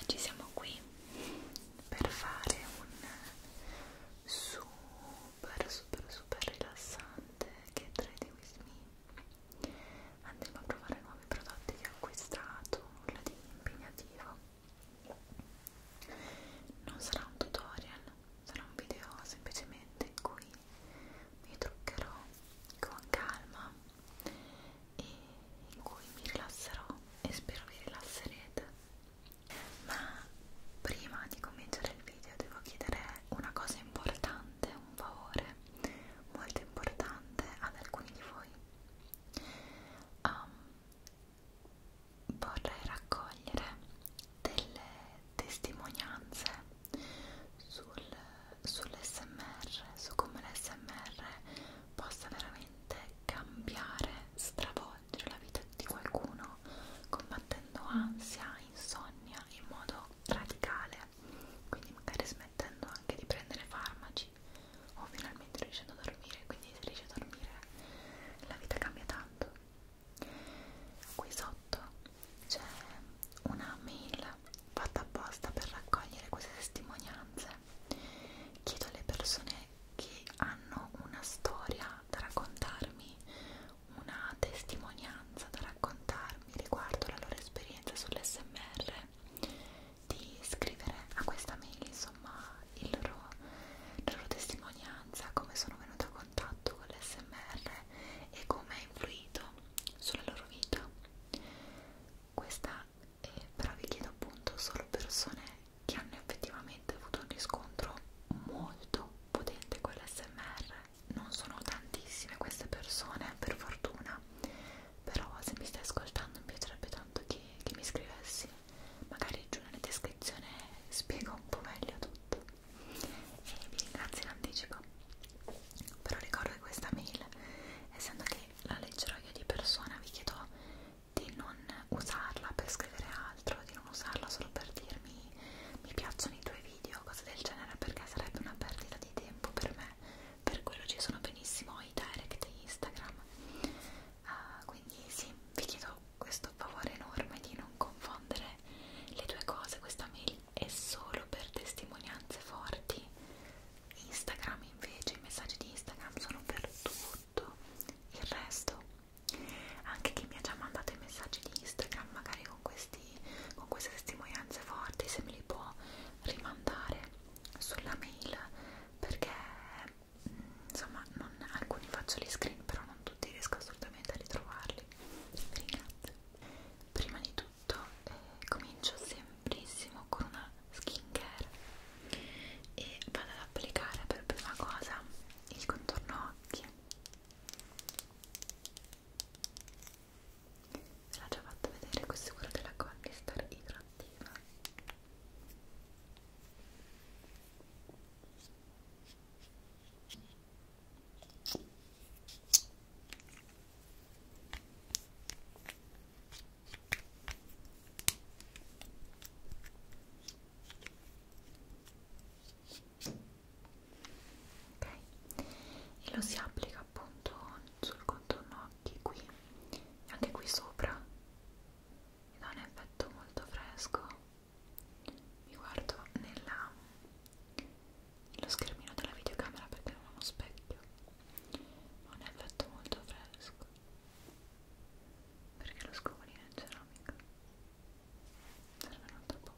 Oggi ah, siamo qui per fare un super super super rilassante che è Trade With Me. Andremo a provare nuovi prodotti che ho acquistato, nulla di impegnativo. Non sarà un tutorial, sarà un video semplicemente in cui mi truccherò con calma e in cui mi rilasserò e spero vi rilasserete ma prima di cominciare il video devo chiedere una cosa importante un favore molto importante ad alcuni di voi um, vorrei raccogliere delle testimonianze sul, sull'SMR, su come l'SMR possa veramente cambiare, stravolgere la vita di qualcuno combattendo ansia, insonnia in modo radicale, quindi magari smettendo anche di prendere farmaci o finalmente riuscendo a dormire, quindi se riesci a dormire la vita cambia tanto qui sotto c'è una mail fatta apposta per raccogliere queste testimonianze chiedo alle persone che hanno una storia da raccontarmi una testimonianza da raccontarmi riguardo la loro esperienza sull'SMR di scrivere a questa mail insomma il loro, la loro testimonianza come sono venuta contatto con l'SMR e come ha influito sulla loro vita. Questa eh, però vi chiedo appunto solo persone che hanno effettivamente avuto un riscontro molto potente con l'SMR. Non sono tantissime queste persone, per fortuna, però se mi stai ascoltando mi piacerebbe tanto che, che mi scrivessi. Magari giù nella descrizione spiego un po' meglio tutto e vi ringrazio in anticipo però ricordo che questa mail essendo che la leggerò io di persona vi chiedo di non usarla per scrivere altro di non usarla solo per dirmi mi piacciono i tuoi video cose del genere perché sarebbe una perdita di tempo per me per quello ci sono benissimo i direct di Instagram uh, quindi sì vi chiedo questo favore enorme di non confondere le due cose questa mail e solo per testimonianze forti. Instagram invece, i messaggi di Instagram sono per tutto il resto. Anche chi mi ha già mandato i messaggi di Instagram, magari con, questi, con queste testimonianze forti, se me li può rimandare sulla mail perché mm, insomma non, alcuni faccio gli screen però non tutti riesco assolutamente a ritrovarli vi ringrazio prima di tutto eh, comincio sembrissimo con una skincare e vado ad applicare per prima cosa il contorno occhi ve l'ho già fatto vedere questo è quello della Collistar idrattiva e lo si applica appunto sul contorno occhi qui e anche qui sopra e dà un effetto molto fresco mi guardo nella, nello schermino della videocamera perché non ho uno specchio ha un effetto molto fresco perché lo scovolino è ceramica serve un altro po'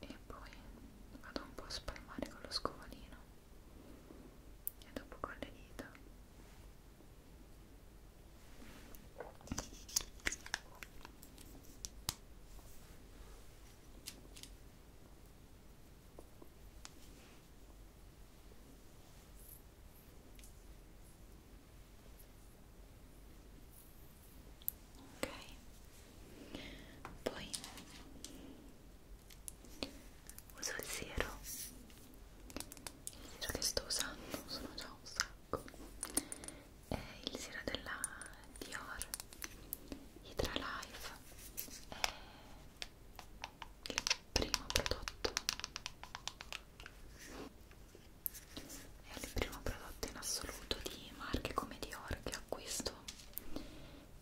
e poi vado un po' a spalmare con lo scovolino e dopo con le dita ok poi uso il siero il siero che sto usando sono già un sacco è il siero della Dior Hydra Life è il primo prodotto è il primo prodotto in assoluto di marche come Dior che acquisto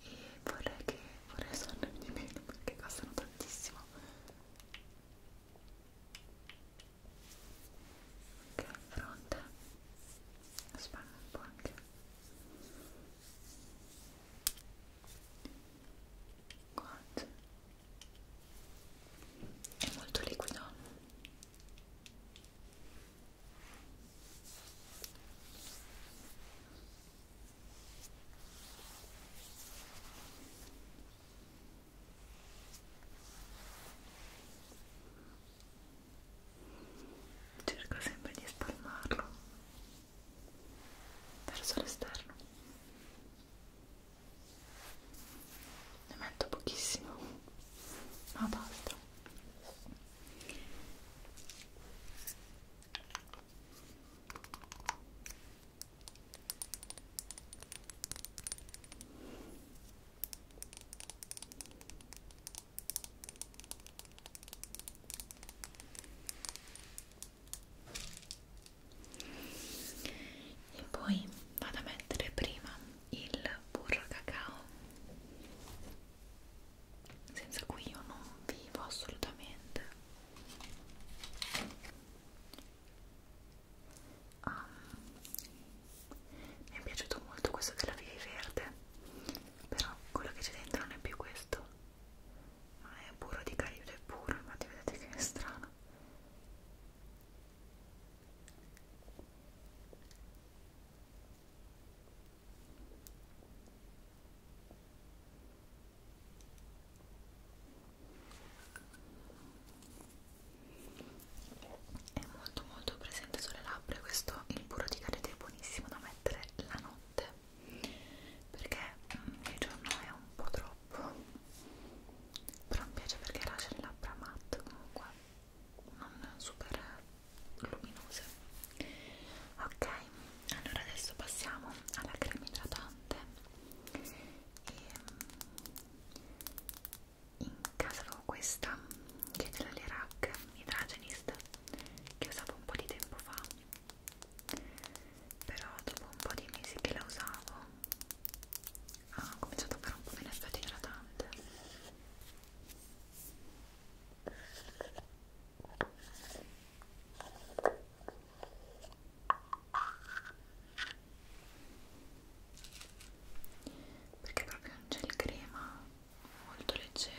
e vorrei che vorrei usarne di meno perché costano tantissimo ok fronte spalmo un po' anche guance è molto liquido Cerco sempre di spalmarlo verso l'esterno. Ne metto pochissimo, ma basta e poi vado a mettere prima il burro cacao senza cui io non vivo assolutamente ah, mi è piaciuto molto questo della Vivi Verde però quello che c'è dentro non è più questo ma è burro di caribe puro infatti vedete che è strano è molto molto presente sulle labbra questo il burro di carete è buonissimo da mettere la notte perché mm, il giorno è un po' troppo però mi piace perché lascia le labbra matte comunque non super luminose ok allora adesso passiamo alla crema idratante e ehm, in casa avevo questa che è della Lerac Hydragenist che usavo un po' di tempo fa però dopo un po' di mesi che la usavo ha cominciato a fare un po' meno effetto idratante perché proprio non c'è il crema molto leggero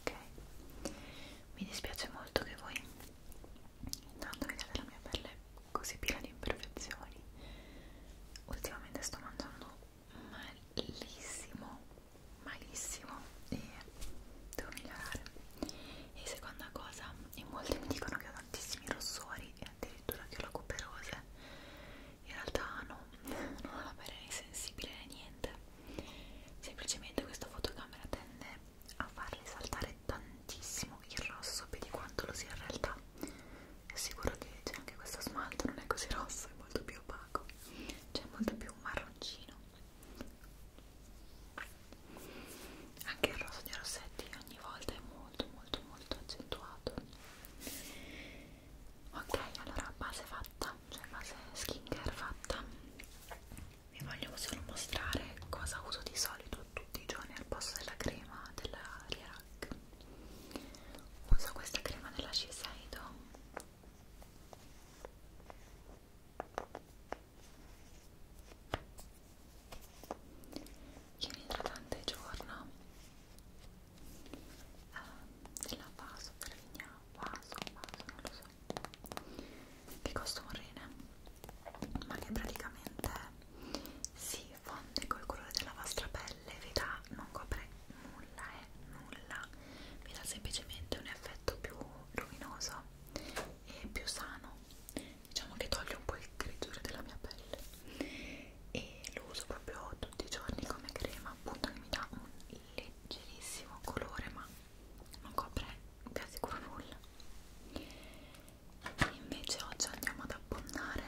ok mi dispiace molto che voi intanto vediate la mia pelle così piena di imperfezioni ultimamente sto mangiando malissimo malissimo e devo migliorare e seconda cosa in molti mi dicono che ho tantissimi rossori e addirittura che ho la cuperose in realtà no, non ho la pelle sensibile né niente semplicemente questa fotocamera tende a far risaltare tantissimo il rosso più di quanto lo sia in realtà è sicuro che c'è anche questo smalto non è così rosso, è molto più opaco c'è cioè, molto più marroncino anche il rosso di Rossetti ogni volta è molto molto molto accentuato ok allora base fatta cioè base skincare fatta vi voglio solo mostrare cosa uso di solito tutti i giorni al posto della crema della Lirac uso questa crema della Shiseido che è un idratante giorno eh, ah, della vaso, della vigna, vaso, vaso, non lo so che costa un rene ma che praticamente si fonde col colore della vostra pelle vi dà, non copre nulla eh, nulla vi dà semplicemente un effetto più luminoso e più sano diciamo che toglie un po' il grigiore della mia pelle e lo uso proprio tutti i giorni come crema appunto che mi dà un leggerissimo colore ma non copre quasi sicuro nulla e invece oggi andiamo ad abbondare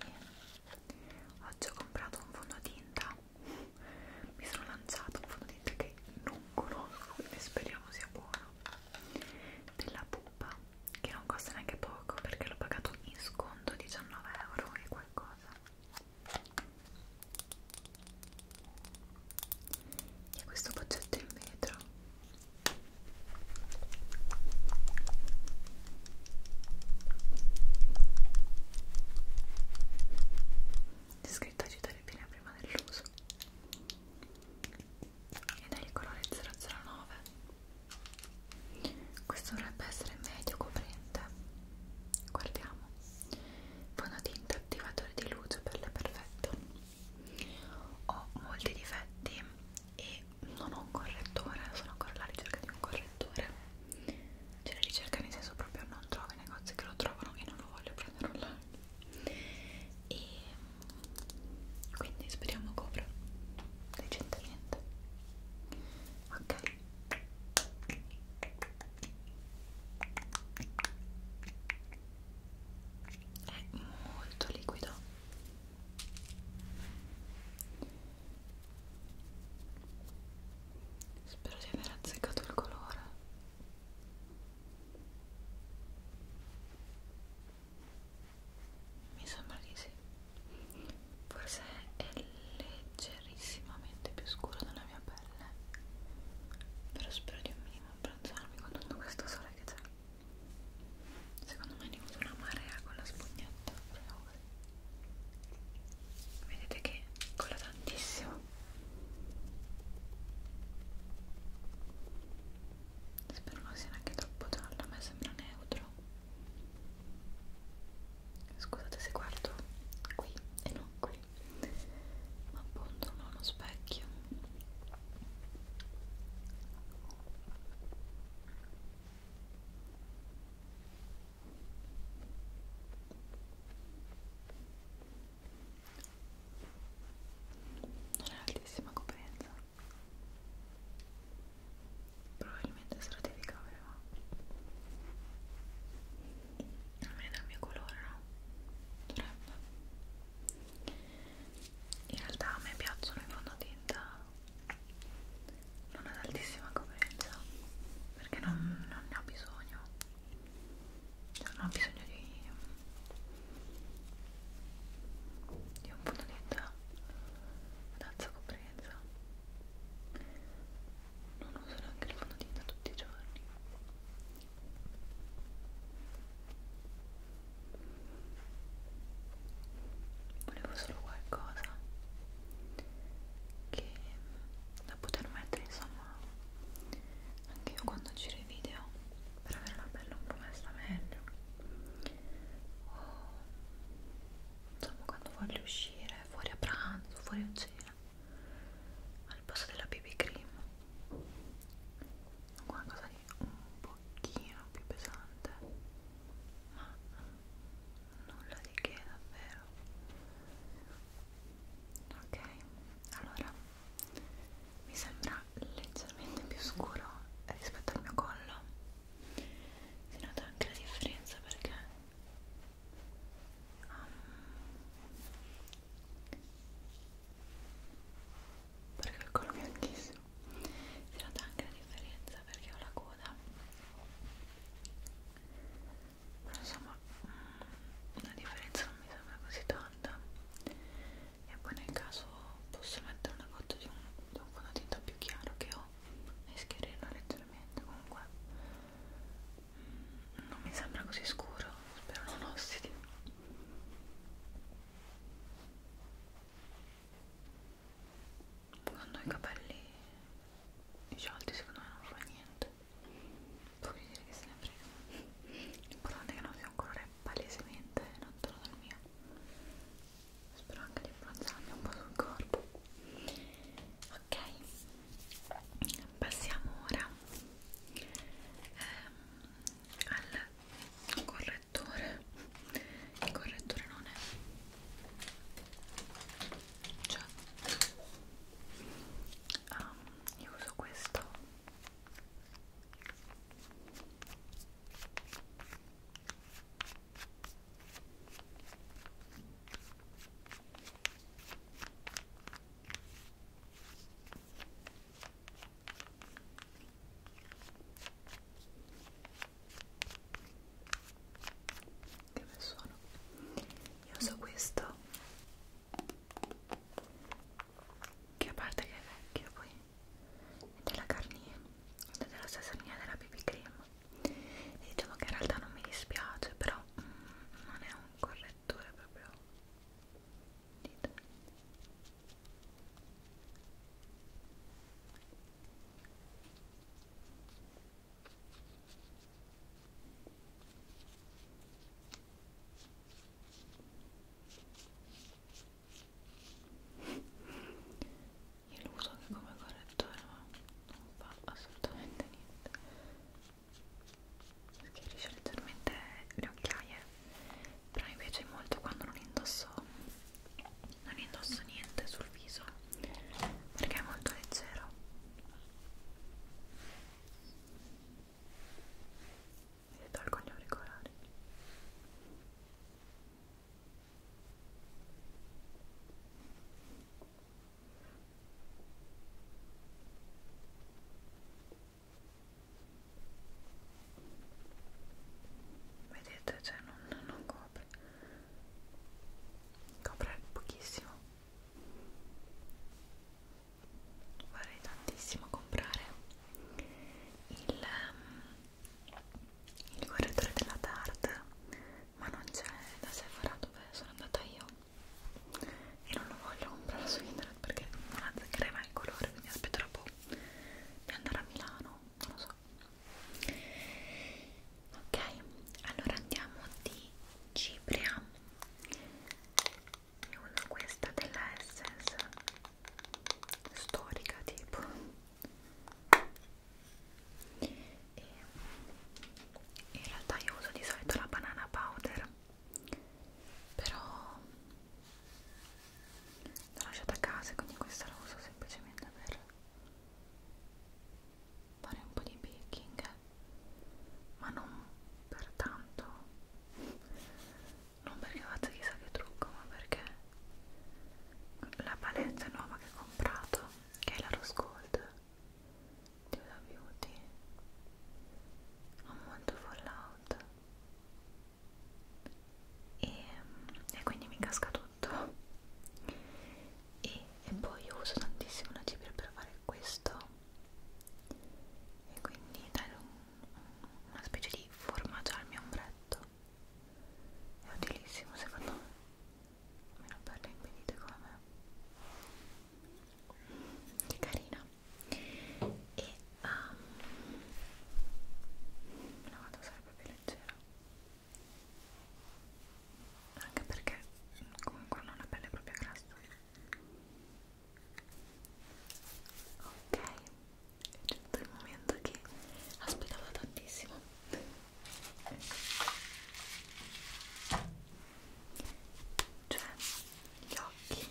e oggi ho comprato un fondotinta mi sono lanciato un fondotinta che non conosco e speriamo sia buono della pupa che non costa neanche poco perché l'ho pagato in sconto 19 euro e qualcosa e questo boccetto in vetro c'è scritto agitare bene prima dell'uso ed è il colore 009 questo dovrebbe essere medio coprente guardiamo fondotinta attivatore di luce per le perfetto ho molti difetti e non ho un correttore sono ancora alla ricerca di un correttore c'è la ricerca nel senso proprio non trovo i negozi che lo trovano e non lo voglio prendere online e quindi speriamo copra decentemente ok è molto liquido spero di aver azzeccato il colore mi sembra di sì forse è leggerissimamente più scuro della mia pelle però spero di un minimo abbronzarmi con tutto questo sole che c'è secondo me ne uso una marea con la spugnetta vedete che cola tantissimo spero non sia neanche troppo giallo, a me sembra neutro scusate se guardo qui e non qui ma appunto non ho uno specchio non è altissima coerenza probabilmente sarà di ricavere ma almeno dal mio colore no? dovrebbe in realtà a me piacciono i fondotinta non ad altissima coprenza perché non, non ne ho bisogno cioè non ho bisogno di di un po' di tazza compresa non uso neanche il fondotinta tutti i giorni volevo solo qualcosa che da poter mettere insomma anche io quando giro i video per avere la pelle un po' messa meglio o insomma quando voglio uscire fuori a pranzo, fuori a cena al posto della BB cream qualcosa di un pochino più pesante ma nulla di che davvero ok allora mi sembra leggermente più scuro rispetto al mio collo si nota anche la differenza perché um, perché il collo bianchissimo si nota anche la differenza perché ho la coda però insomma mm, la differenza non mi sembra così tanta e poi nel caso posso mettere una foto di un, di un fondotinta più chiaro che ho e schiarirlo leggermente comunque mm, non mi sembra così scuro spero non ossidi quando ho i capelli i sciolti secondo me non fa niente voglio dire che se ne frega l'importante è che non sia un colore palesemente lontano dal mio spero anche di abbronzarmi un po' sul corpo ok passiamo ora ehm, al correttore il correttore non è cioè um, io uso questo che bel suono io uso questo che a parte che è vecchio poi è della Garnier è della stessa linea della BB Cream e diciamo che in realtà non mi dispiace però mm, non è un correttore proprio dito io lo uso anche come correttore ma non fa assolutamente niente schiarisce leggermente le occhiaie però mi piace molto quando non indosso non indosso niente sul viso perché è molto leggero e tolgo gli auricolari vedete cioè non, non copre copre pochissimo vorrei tantissimo comprare il, um, il correttore della Tarte ma non c'è da Sephora dove sono andata io e non lo voglio comprare su internet perché non azzeccherei mai il colore quindi aspetterò un po' di andare a Milano non lo so ok allora andiamo di Cipria io uso questa della Essence storica tipo e in realtà io uso di solito la banana powder però l'ho lasciata a casa quindi questa la uso semplicemente per fare un po' di baking ma non per tanto non perché faccia chissà che trucco ma perché la palette nuova che ho comprato che è la Rose Gold di Huda Beauty ha molto fallout e, e quindi mi casca tutto e, e poi io uso tantissimo la cipria per fare questo e quindi dare un una specie di formaggio al mio ombretto è utilissimo secondo me almeno per le impedite come me che carina e um, la vado a usare proprio leggera anche perché comunque non ho una pelle proprio grassa Ok, è giunto il momento che aspettavo tantissimo. Cioè, gli occhi.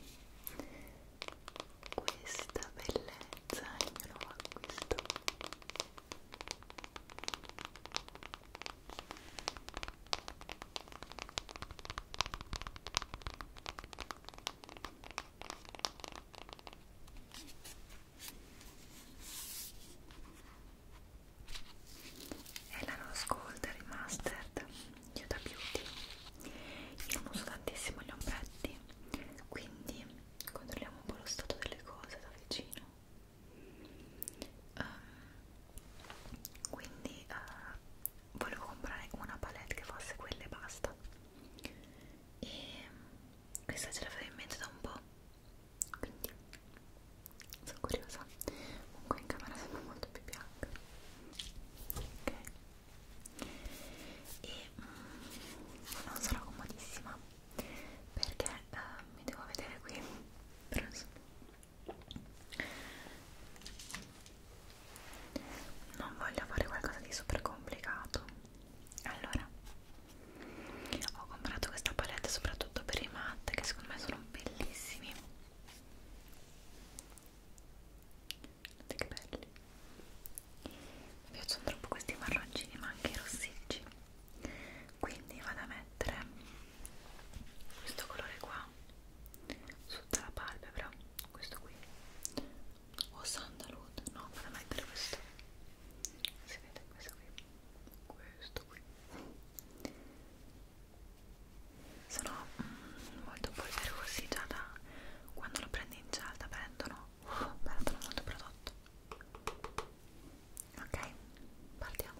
Questa bellezza è il mio nuovo acquisto è la Rose Gold Remastered di Huda Beauty io non uso tantissimo gli ombretti quindi controlliamo un po' lo stato delle cose da vicino um, quindi uh, volevo comprare una palette che fosse quella e basta e questa ce l'avevo in mente da un po' quindi sono curiosa comunque in camera sembra molto più bianca ok e mm, non sarò comodissima perché eh, mi devo vedere qui però insomma non voglio fare qualcosa di super complicato allora ho comprato questa palette soprattutto per i matte che secondo me sono bellissimi guardate che belli mi piacciono troppo questi marroncini ma anche i rossicci quindi vado a mettere questo colore qua sotto la palpebra questo qui o sandalwood no vado a mettere questo si vede questo qui questo qui sono mm, molto polverosi già da quando lo prendi in cialda perdono uh, perdono molto prodotto ok partiamo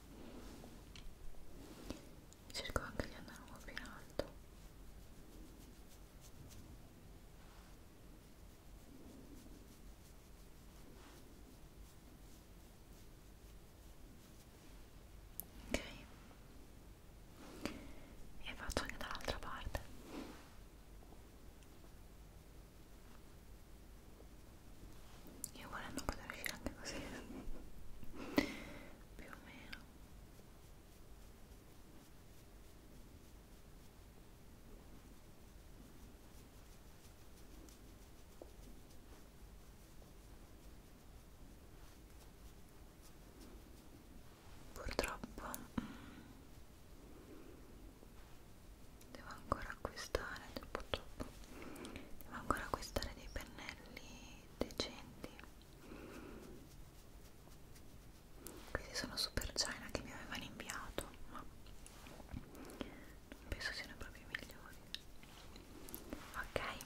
cerco anche di andare un po' più in alto ok e faccio anche dall'altra parte io volendo poter uscire anche così, più o meno. Purtroppo mh, mm, devo ancora acquistare purtroppo devo ancora acquistare dei pennelli decenti questi sono super china che mi avevano inviato ma non penso siano proprio i migliori ok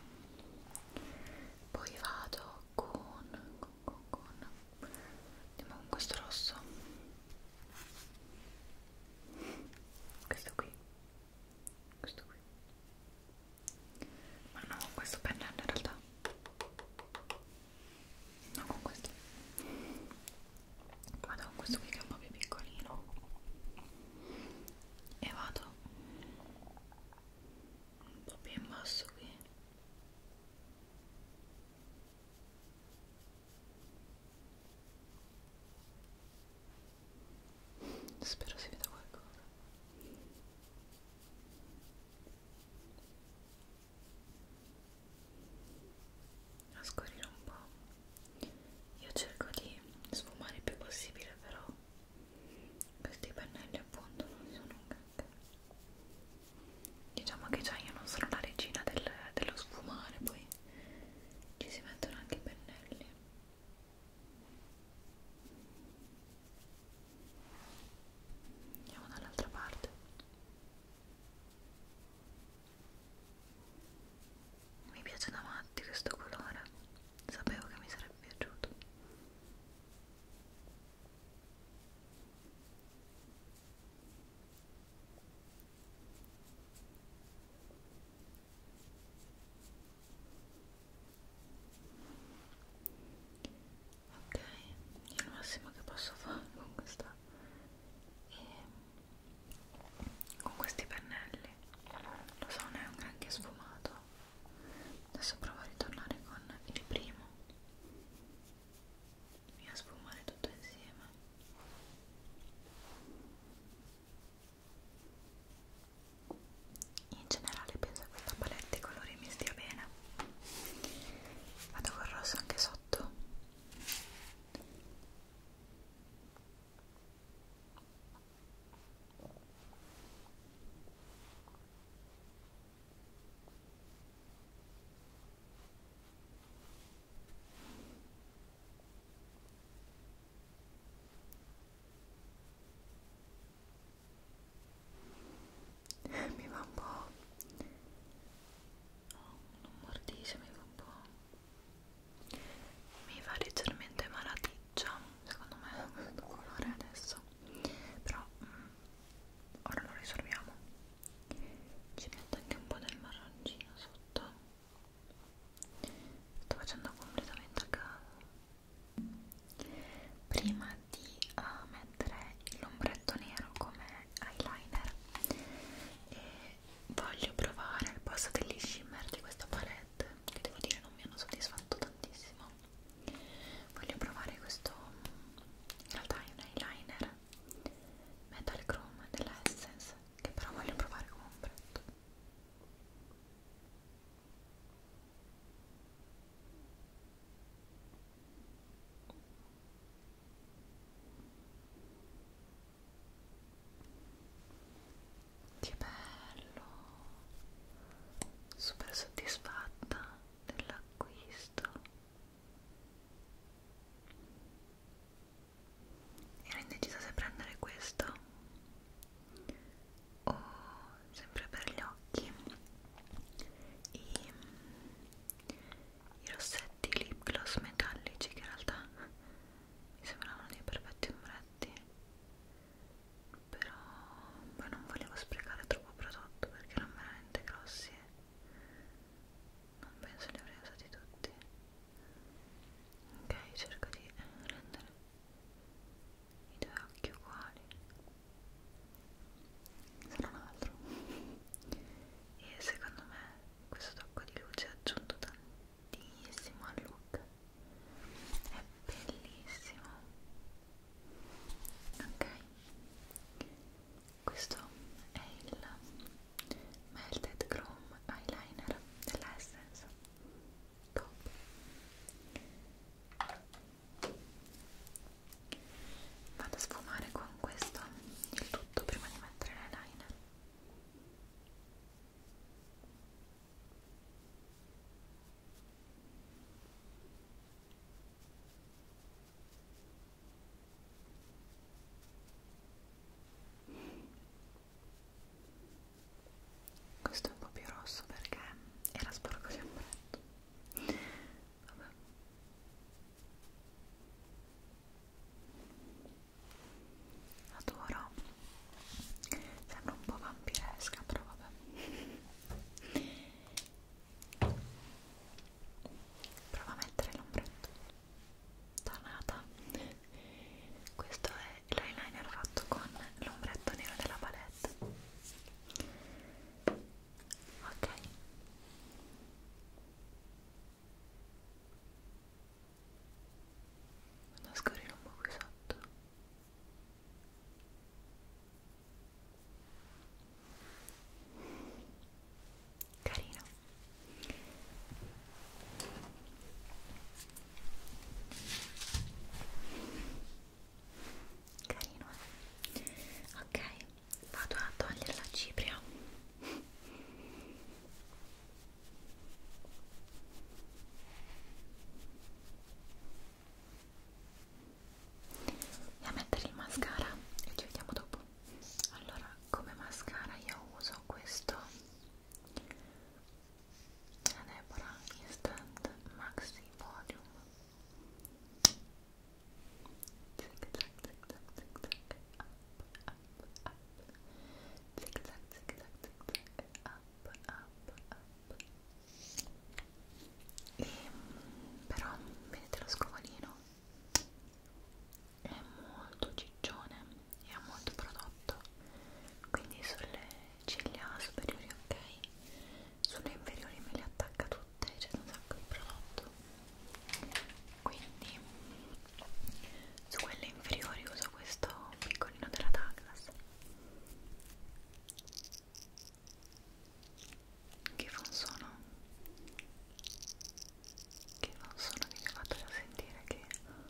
poi vado con con con andiamo con questo rosso questo qui questo qui ma no con questo pennello in realtà no con questo vado con questo qui che è un po' più piccolino e vado un po' più in basso qui Spero si veda qualcosa. A scorrire un po'. Io cerco di sfumare il più possibile, però questi pennelli appunto non sono un granché. Diciamo che già io non sono la regina del, dello sfumare, poi ci si mettono anche i pennelli andiamo dall'altra parte mi piace da matti questo colore sapevo che mi sarebbe piaciuto ok è il massimo che posso fare con questa e con questi pennelli lo so non è un granché sfumato adesso provo a ritornare con il primo e a sfumare tutto insieme in generale penso che questa palette i colori mi stia bene vado col rosso anche sotto mi va un po' oh, non mordisce mi va un po' mi va leggermente malaticcia secondo me questo colore adesso però mm, ora lo risolviamo ci metto anche un po' del marroncino sotto sto facendo completamente a caso prima di uh, mettere l'ombretto nero come eyeliner e voglio provare il passo degli shimmer di questa palette che devo dire non mi hanno soddisfatto tantissimo voglio provare questo in realtà è un eyeliner metal chrome della Essence che però voglio provare come ombretto che bello super soddisfatta dell'acquisto Ero indecisa se prendere questo o sempre per gli occhi i, i rossetti lip gloss metallici che in realtà mi sembravano dei perfetti ombretti però poi non volevo sprecare troppo prodotto perché erano veramente grossi e non penso li avrei usati tutti ok cerco di rendere i due occhi uguali se non altro e secondo me questo tocco di luce ha aggiunto tantissimo al look è bellissimo ok questo è il Melted Chrome Eyeliner della Essence Top Vado a sfumare con questo il tutto prima di mettere l'eyeliner questo è un po' più rosso perché era sporco di ombretto. Vabbè. Adoro. Sembra un po' vampiresca, però vabbè. Prova a mettere l'ombretto tonata questo è l'eyeliner fatto con l'ombretto nero della palette ok vado a scorrere un po' qui sotto carino carino eh? ok vado a togliere la cipria e a mettere il mascara e ci vediamo dopo allora come mascara io uso questo della Deborah Instant Maxi Volume zig zag zig zag zig zag up up up zig zag zig zag zig zag up up up e ehm, però vedete lo scovolino è molto ciccione e ha molto prodotto quindi sulle ciglia superiori ok sulle inferiori me le attacca tutte c'è un sacco di prodotto quindi su quelle inferiori uso questo piccolino della Douglas che fa un suono che non sono di fatto da sentire che adoro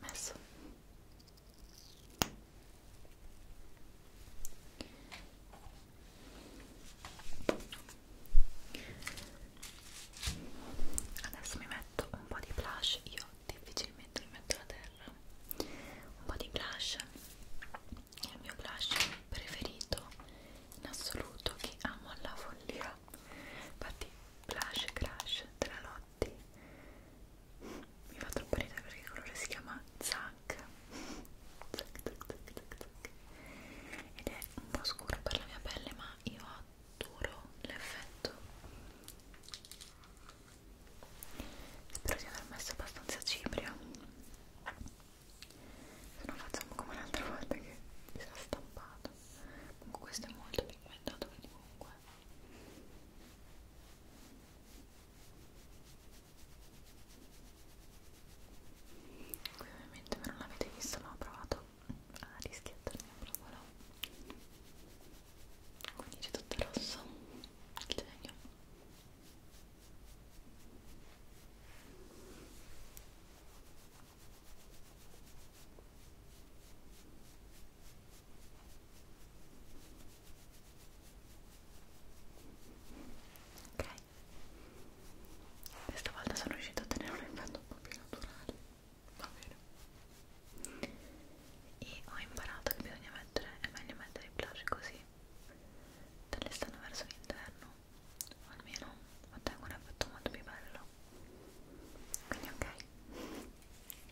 messo adesso mi metto un po' di blush io difficilmente mi metto la terra un po' di blush il mio blush preferito in assoluto che amo alla follia infatti blush crash della Lotti mi fa troppo ridere perché il colore si chiama Zac ed è un po' scuro per la mia pelle ma io adoro l'effetto spero di aver messo abbastanza cipria se no facciamo come l'altra volta che si era stampato comunque questo è molto pigmentato quindi comunque qui ovviamente voi non l'avete visto ma ho provato a rischiattarmi un provolo quindi c'è tutto rosso il genio Ok, questa volta sono riuscito a tenere un effetto un po' più naturale, va bene. E ho imparato che bisogna mettere, è meglio mettere i blush così, dall'esterno verso l'interno o almeno ottengo un effetto molto più bello quindi ok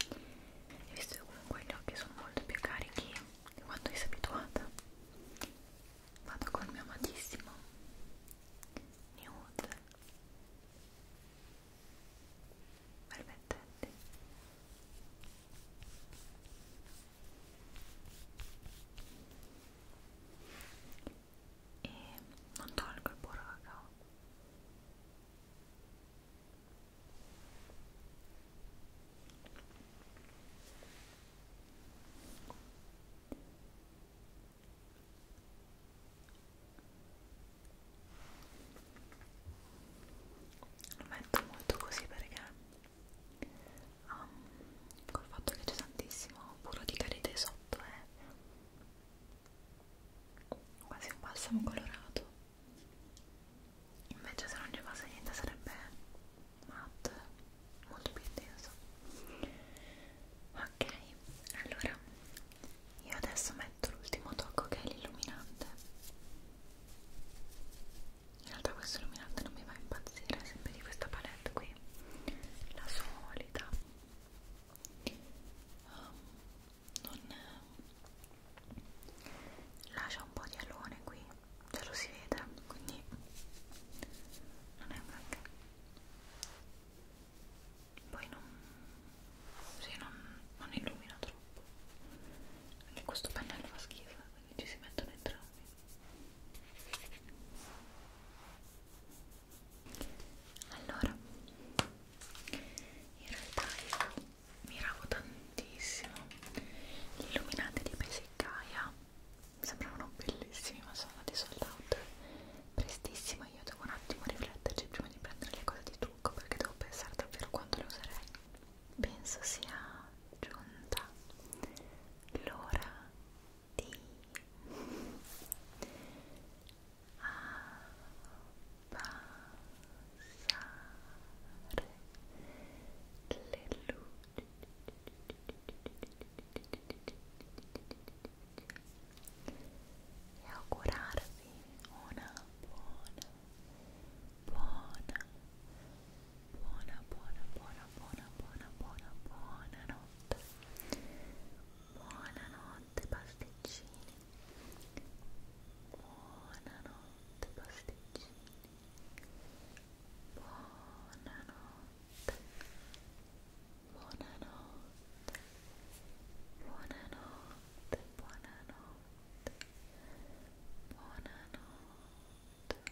e visto che comunque gli occhi sono molto più carichi di quanto sei abituata vado col mio amatissimo nude permettete e non tolgo il burro cacao lo metto molto così perché um, col fatto che c'è tantissimo puro di carite sotto è eh. quasi un balsamo colorato invece se non ci fosse niente sarebbe matte molto più intenso ok allora io adesso metto l'ultimo tocco che è l'illuminante in realtà questo illuminante non mi va a impazzire, è sempre di questa palette qui la solita um, non eh, lascia un po' di alone qui ce lo si vede quindi non è un granché poi non, sì, non, non illumina troppo anche questo pannello fa schifo quindi ci si mettono entrambi allora, in realtà io miravo tantissimo gli illuminanti di Pesiccaia, sembravano bellissimi ma sono andati sold out prestissimo io devo un attimo rifletterci prima di prendere le cose di trucco perché devo pensare davvero quanto le userei penso sia giunta l'ora di abbassare le luci e augurarvi una buona buona buona, buona, buona, buona, buona, buona, buona notte. Buonanotte pasticcini. Buonanotte pasticcini. Buonanotte. Buonanotte. Buonanotte. Buonanotte. Buonanotte sonidor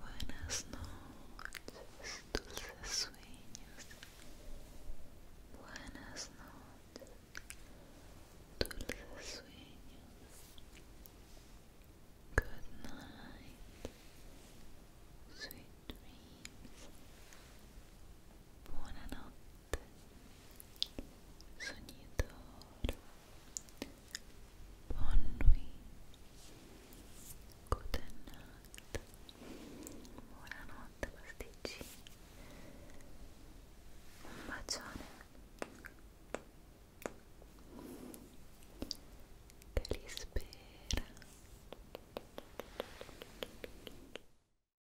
buenas noches dulces sueños buenas noches dulces sueños good night sweet dreams buonanotte soñador, bonne nuit, good night, buonanotte pasticcini, un